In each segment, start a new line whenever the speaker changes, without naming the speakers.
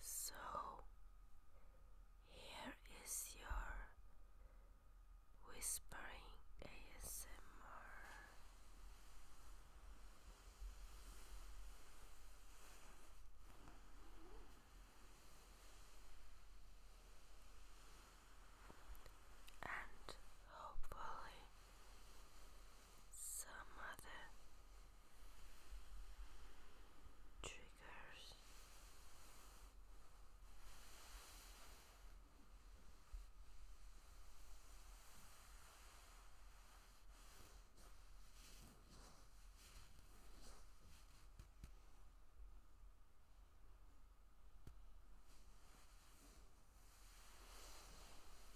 So here is your whispering ASMR. And hopefully some other triggers.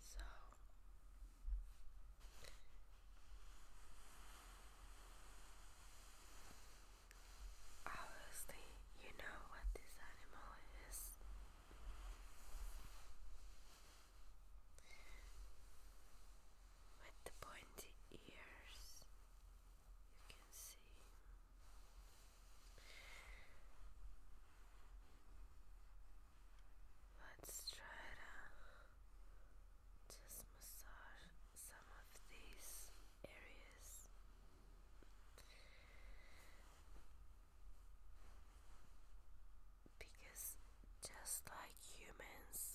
So obviously you know what this animal is. With the pointy ears you can see let's try to just massage some of these areas because just like humans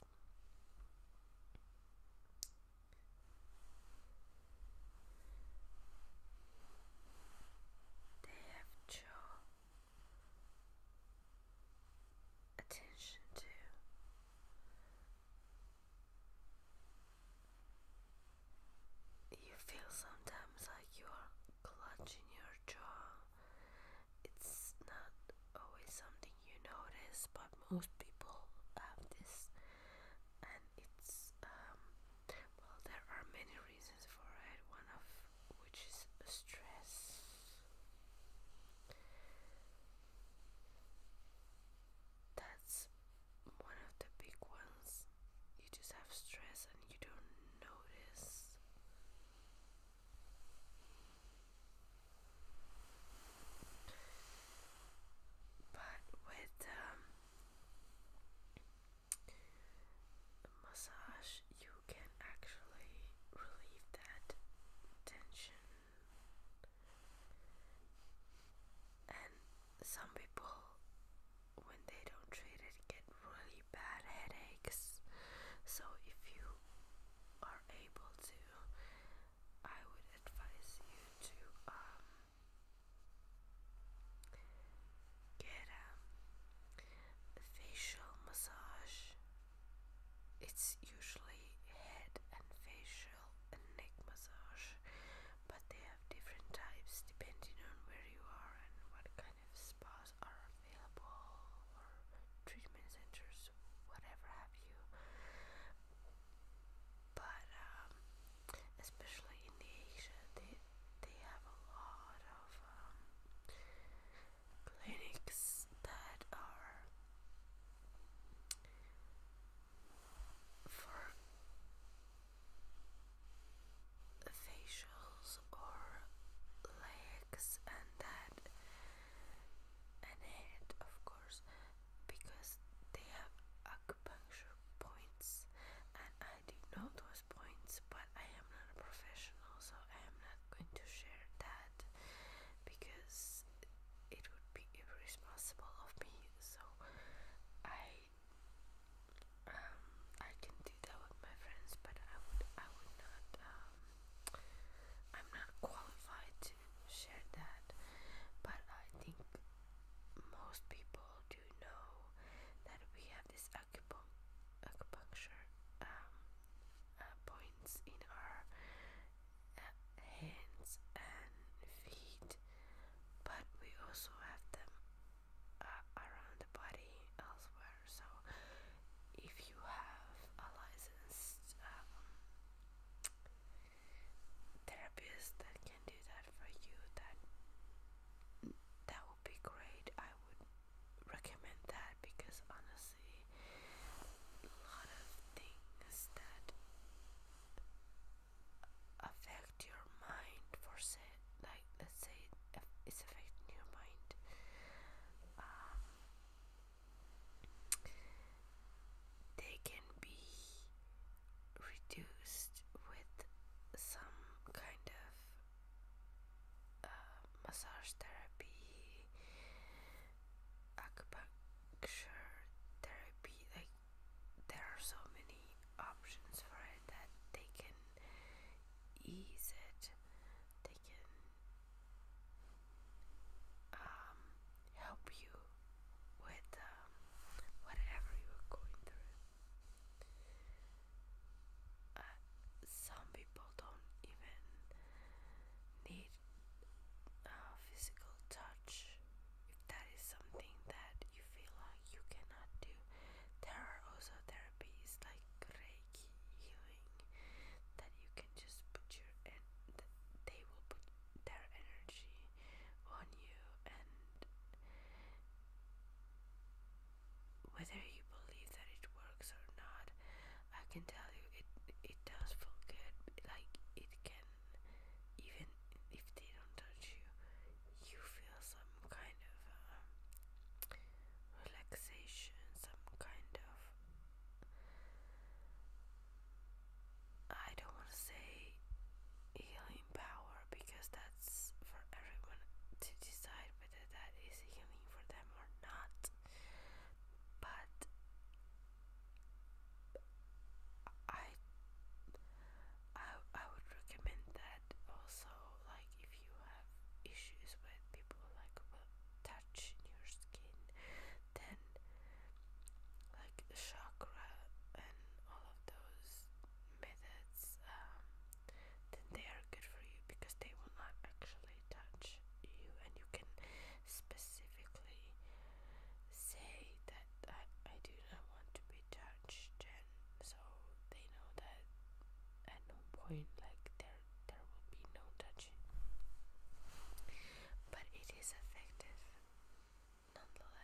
they have drawn attention to you feel sometimes like you are clutching your jaw. It's not always something you know this, but most people have this, and it's um, well, there are many reasons for it. One of which is stress. That's one of the big ones. You just have stress and you don't notice. But with um, massage, you can actually relieve that tension. And some people, when they don't treat it, get really bad headaches. So, if you are able to I would advise you to um get a um, facial massage. It's usually head and facial and neck massage, but they have different types depending on where you are and what kind of spas are available or treatment centers, whatever have you but um, especially in Asia, they they have a lot of um, clinics that are for facials or legs and that and head of course because they have acupuncture points and I do know those points but I am not a professional so I am not going to share that because it would be irresponsible of me so I um I can do that with my friends but I would I would not um I'm not qualified to share that, but I think most people do know that we have this acupun acupuncture um, uh, points in our uh, hands and feet, but we also have them uh, around the body elsewhere. So, if you have a licensed um, therapist that can do that for you that that would be great I would recommend that because honestly a lot of things that affect your mind for say like let's say it's affecting your mind um, they can be reduced with some kind of uh, massage therapy, acupuncture therapy. Like there are so many options for it that they can ease it. They can um, help you with um, whatever you're going through. Uh, some people don't even need uh, physical touch. If that is something that you feel like you cannot do, there are also therapies like Reiki healing that you can just put your and they will put their energy on you and whether you believe that it works or not i can tell you it it does feel good like it can even if they don't touch you you feel some kind of um, relaxation some kind of I don't want to say healing power because that's for everyone to decide whether that is healing for them or not. But I I I would recommend that also like if you have issues with people like touching your skin then like chakra and all of those methods um, then they are good for you because they will not actually touch you and you can specifically say that I, I do not want to be touched and so they know that at no point like there there will be no touch but it is effective nonetheless.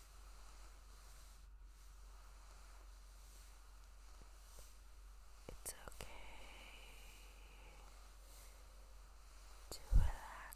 It's okay to relax.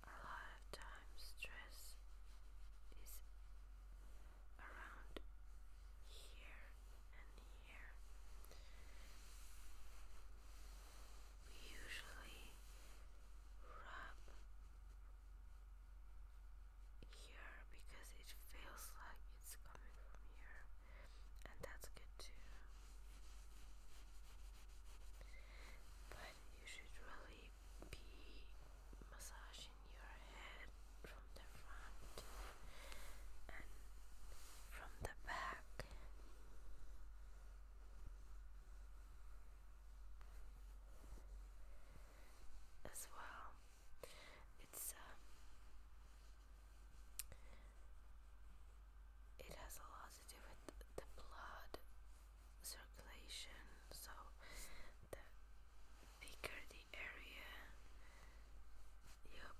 a lot of times stress is around here and here. We usually rub here because it feels like it's coming from here, and that's good too. But you should really be massaging your head from the front and from the back. As well, it's um, it has a lot to do with the blood circulation. So the bigger the area, your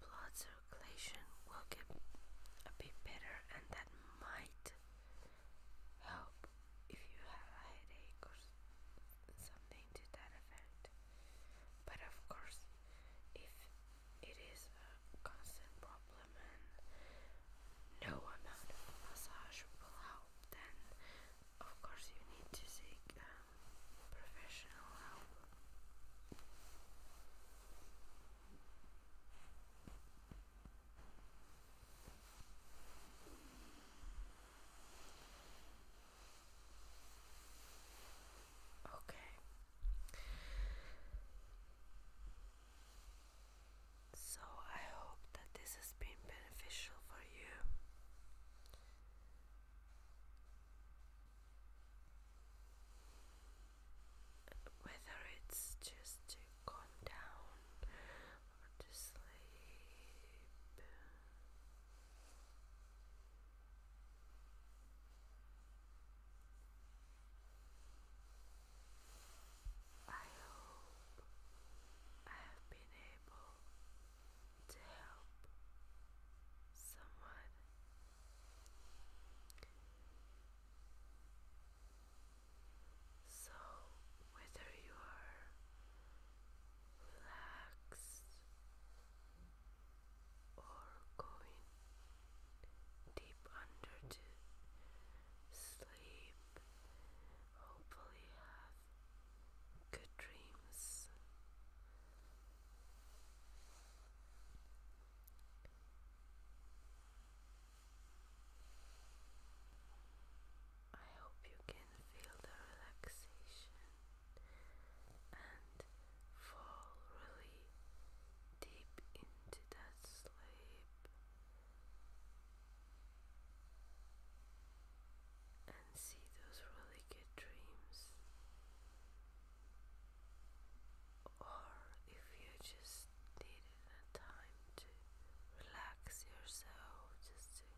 blood circulation will get a bit better, and that might help if you have a headache or something to that effect. But of course, if it is a constant problem woman. No amount of massage will help. Then, of course, you need to seek um, professional help. Okay. So I hope that this has been beneficial for you. Whether it's just to calm down or to sleep. I hope I have been able to help someone. So, whether you are relaxed or going deep under to sleep. Hopefully, have good dreams. I hope you can feel the relaxation and fall really deep into that sleep and see those really good dreams. Or if you just needed a time to relax yourself, just to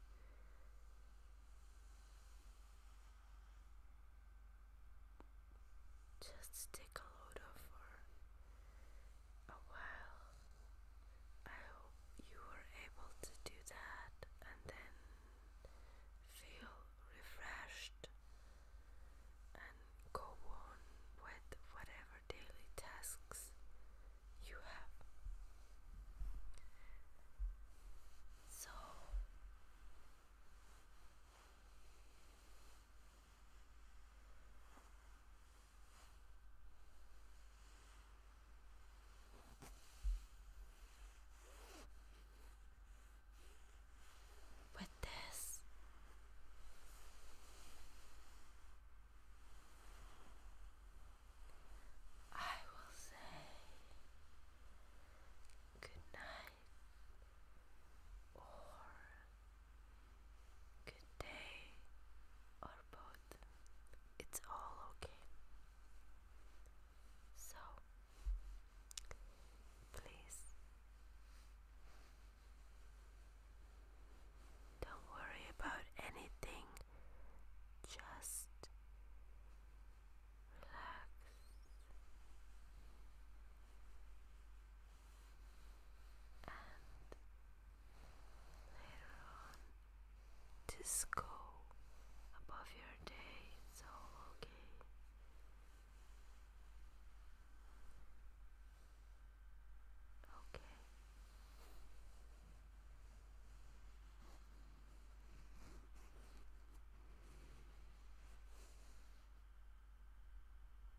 just for a while. I hope you were able to do that and then feel refreshed and go on with whatever daily tasks you have. So, with this, I will say good night or good day, or both. It's all okay. So, please don't worry about anything, just relax and later on just above your day. It's all okay. Okay.